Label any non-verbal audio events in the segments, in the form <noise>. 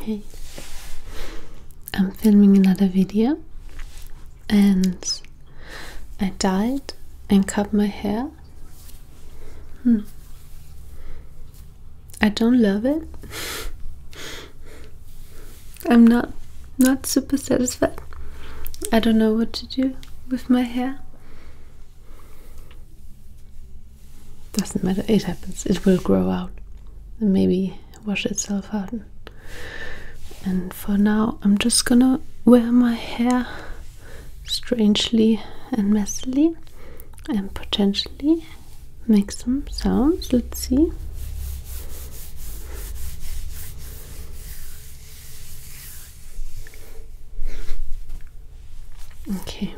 Hey, I'm filming another video and I dyed and cut my hair Hmm. I don't love it. I'm not not super satisfied. I don't know what to do with my hair. Doesn't matter, it happens. It will grow out and maybe wash itself out. And for now, I'm just gonna wear my hair strangely and messily and potentially make some sounds. Let's see. Okay.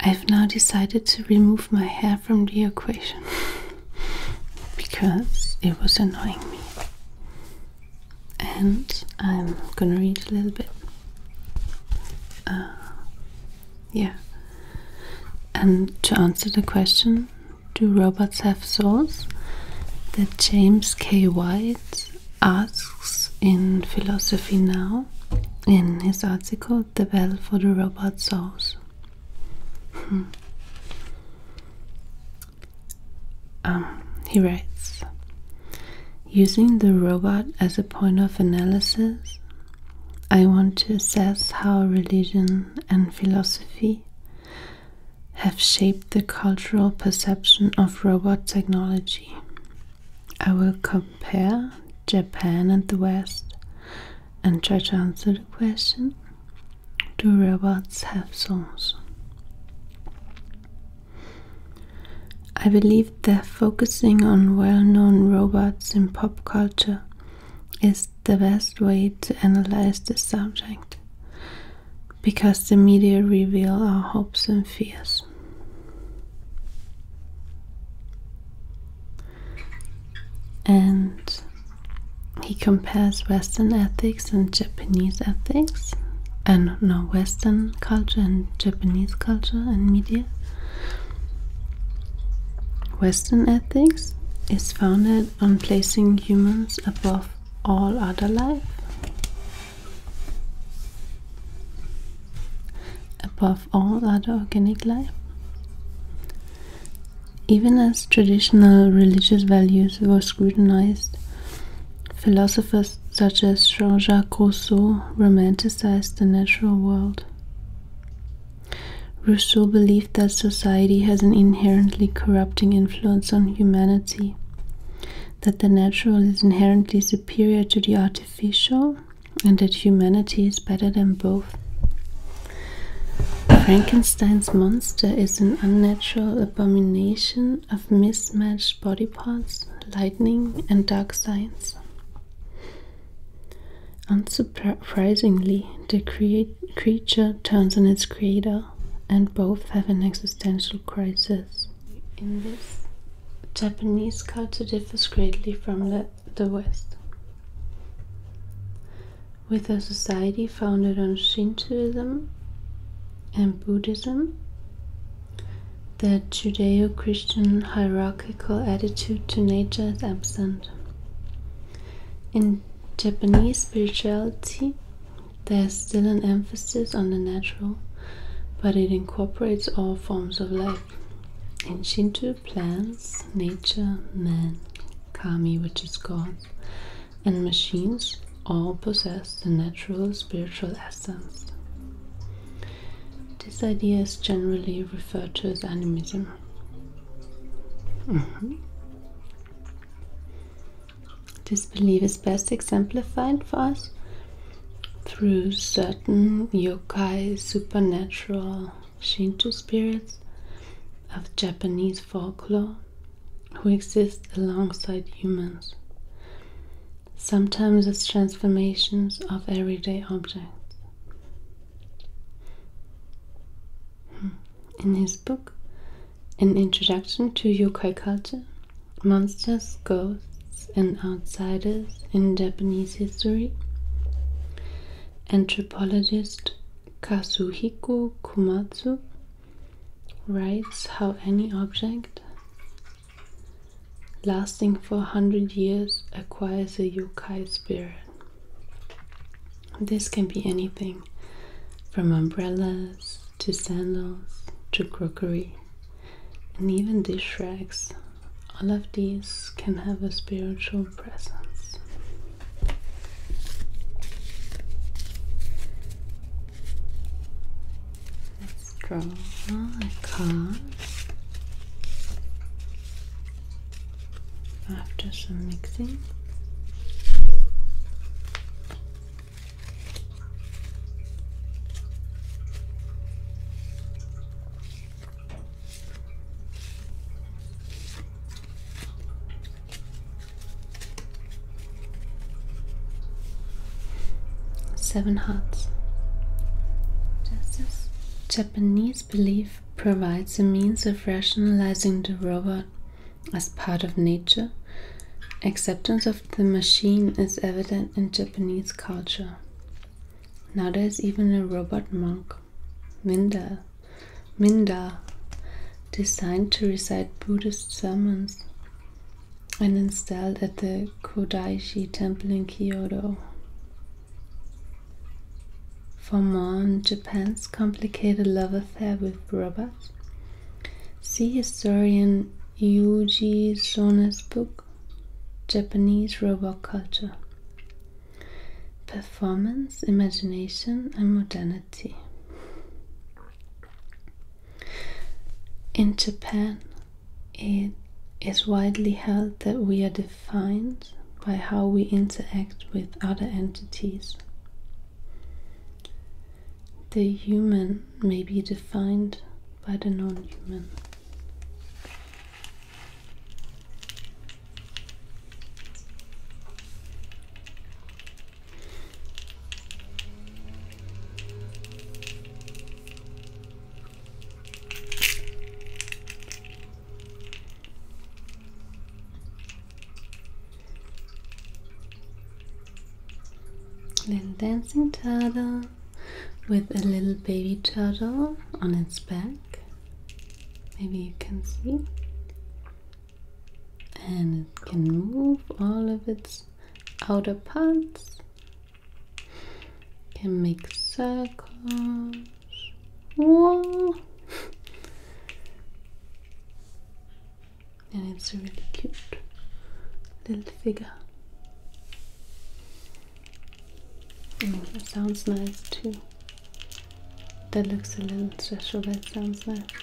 I've now decided to remove my hair from the equation <laughs> because it was annoying me and I'm gonna read a little bit. Uh, yeah. And to answer the question, do robots have souls? That James K. White asks in Philosophy Now in his article The Bell for the Robot Souls. Hmm. Um, he writes Using the robot as a point of analysis, I want to assess how religion and philosophy have shaped the cultural perception of robot technology. I will compare Japan and the West and try to answer the question Do robots have souls? I believe that focusing on well known robots in pop culture is the best way to analyze the subject because the media reveal our hopes and fears. And he compares Western ethics and Japanese ethics, and no Western culture and Japanese culture and media. Western ethics is founded on placing humans above all other life, above all other organic life. Even as traditional religious values were scrutinized Philosophers such as Jean Jacques Rousseau romanticized the natural world. Rousseau believed that society has an inherently corrupting influence on humanity, that the natural is inherently superior to the artificial, and that humanity is better than both. Frankenstein's monster is an unnatural abomination of mismatched body parts, lightning, and dark signs. Unsurprisingly, the creature turns on its creator, and both have an existential crisis. In this, Japanese culture differs greatly from the West. With a society founded on Shintoism and Buddhism. the Judeo Christian hierarchical attitude to nature is absent. In Japanese spirituality, there's still an emphasis on the natural, but it incorporates all forms of life. In Shinto, plants, nature, man, kami, which is God, and machines all possess the natural spiritual essence. This idea is generally referred to as animism. Mm-hmm. This belief is best exemplified for us through certain yokai supernatural Shinto spirits of Japanese folklore who exist alongside humans, sometimes as transformations of everyday objects. Hmm. In his book, An Introduction to Yokai Culture, Monsters, Ghosts, and Outsiders in Japanese History, anthropologist Kazuhiko Komatsu writes how any object lasting for 100 years acquires a yokai spirit. This can be anything from umbrellas to sandals to crockery and even dish rags. All of these can have a spiritual presence. Let's draw a card after some mixing. Seven Hearts. Japanese belief provides a means of rationalizing the robot as part of nature. Acceptance of the machine is evident in Japanese culture. Now there's even a robot monk, Minda, Minda, designed to recite Buddhist sermons and installed at the Kudaiji Temple in Kyoto. For more on Japan's complicated love affair with robots, see historian Yuji Sona's book, Japanese Robot Culture Performance, Imagination, and Modernity. In Japan, it is widely held that we are defined by how we interact with other entities. The human may be defined by the non human. Then dancing turtle with a little baby turtle on its back. Maybe you can see and it can move all of its outer parts can make circles Whoa. and it's a really cute little figure that sounds nice too that looks a little special that sounds nice